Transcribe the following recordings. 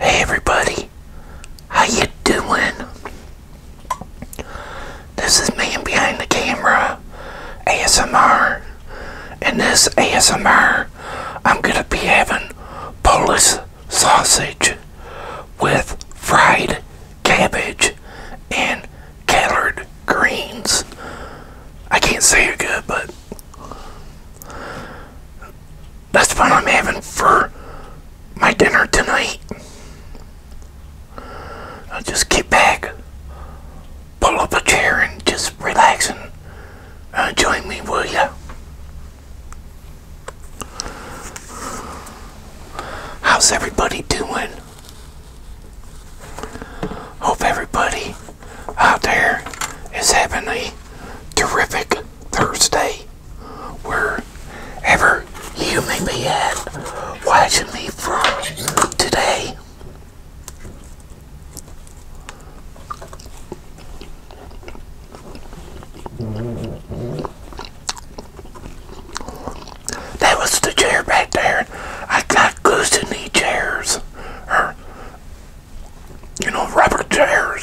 Hey everybody, how you doing? This is man behind the camera, ASMR, and this ASMR, I'm gonna be having Polish sausage with fried cabbage and colored greens. I can't say it good, but that's what I'm having for my dinner tonight. I'll just get back, pull up a chair, and just relax and uh, join me, will ya? How's everybody doing? Hope everybody out there is having a terrific Thursday wherever you may be at watching me from today. That was the chair back there. I got goose in these chairs you know, rubber chairs.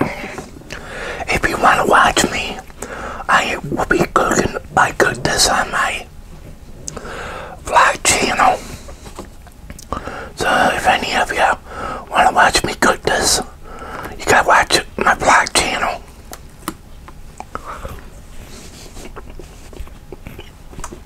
If you want to watch me, I will be cooking. I cook this on my vlog channel. So if any of you want to watch me cook this, you gotta watch my vlog channel.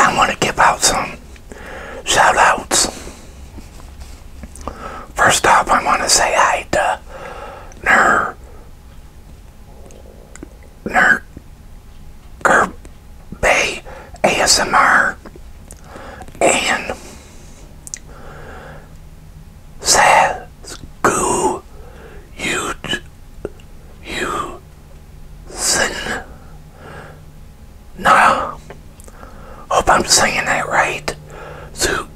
I want to give out some shout outs. First up, I want to say hi to Ner Nerd Bay ASMR and Sasku Usen. No, hope I'm saying that right. Su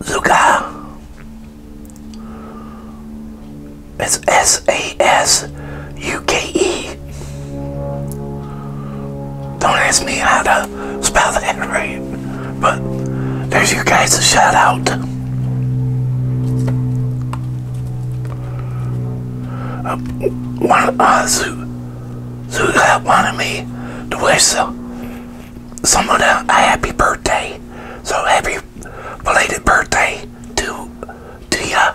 Zuka. It's S A S U K E. Don't ask me how to spell that right, but there's you guys a shout out. Uh, one, uh, so that wanted me to wish someone a, a happy birthday. So happy belated birthday to to ya.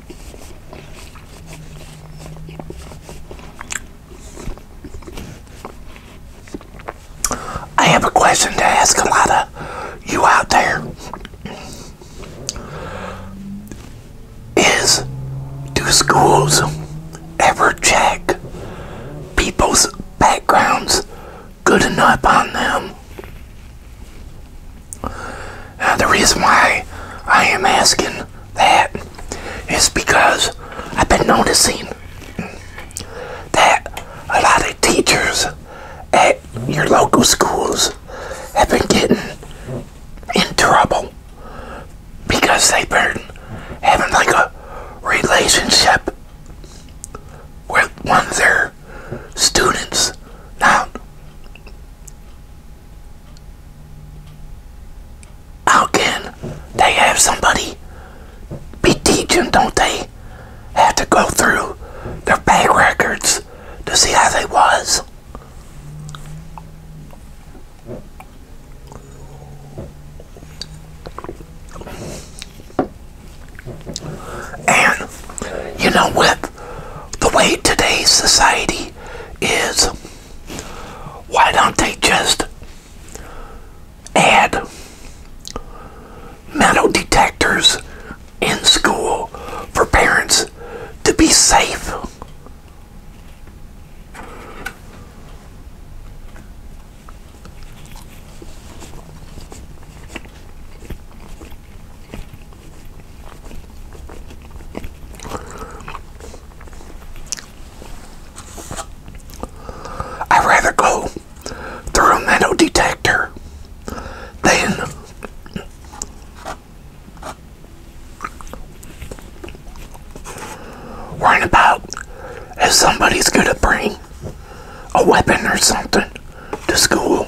I have a question to ask a lot of you out there. Is do schools ever check people's backgrounds good enough on them? Uh, the reason why I am asking that is because I've been noticing that a lot of teachers at your local schools have been getting in trouble because they've been having like a relationship with one of their students. Now, how can they have somebody be teaching? Don't they have to go through their bank records to see how they was? And you know what? the way today's society is, why don't they just add metal detectors in school for parents to be safe? I'd rather go through a metal detector than worrying about if somebody's gonna bring a weapon or something to school.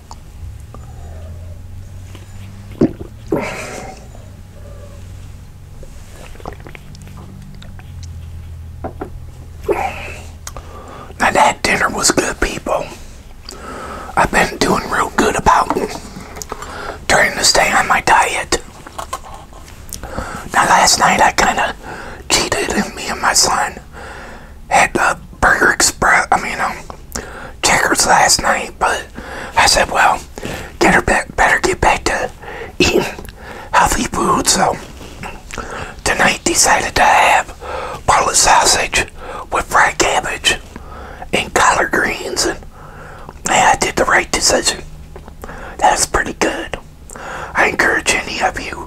Now that dinner was good, people. I've been doing real good about trying to stay on my diet. Now last night I kind of cheated, and me and my son and had Burger Express, I mean, um, Checkers last night, but I said, well, get her back, better get back to eating healthy food, so tonight decided to have Bartlett sausage with fried cabbage and collard greens, and yeah, I did the right decision. That's pretty good. I encourage any of you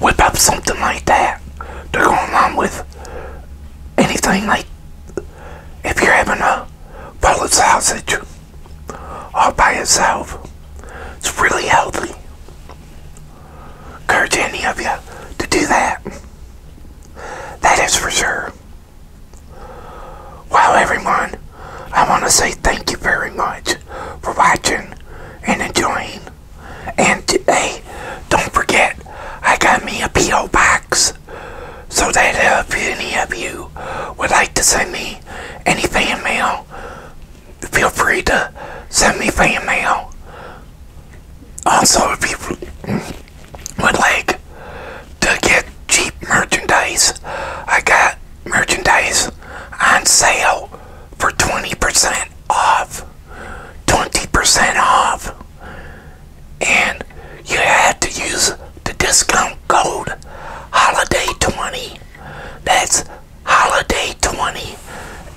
whip up something like that to go along with anything like if you're having a bullet sausage all by yourself. It's really healthy. Courage any of you to do that. That is for sure. Well, everyone, I want to say thank you very much for watching and enjoying and hey, don't forget, I got me a P.O. box. So that if any of you would like to send me any fan mail, feel free to send me fan mail. Also, if you would like to get cheap merchandise, I got merchandise on sale for 20% off. 20% off. And you had to use the discount code HOLIDAY20. That's HOLIDAY20.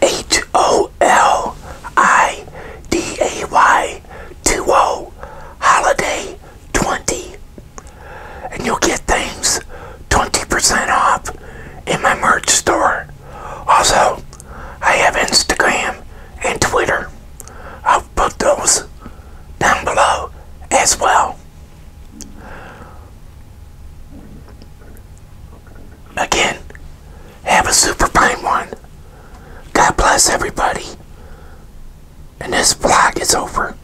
H O L I D A Y 20. HOLIDAY20 and you'll get things 20% off in my merch store. Also, I have Instagram and Twitter. I'll put those down below as well. Again, have a super fine one. God bless everybody. And this vlog is over.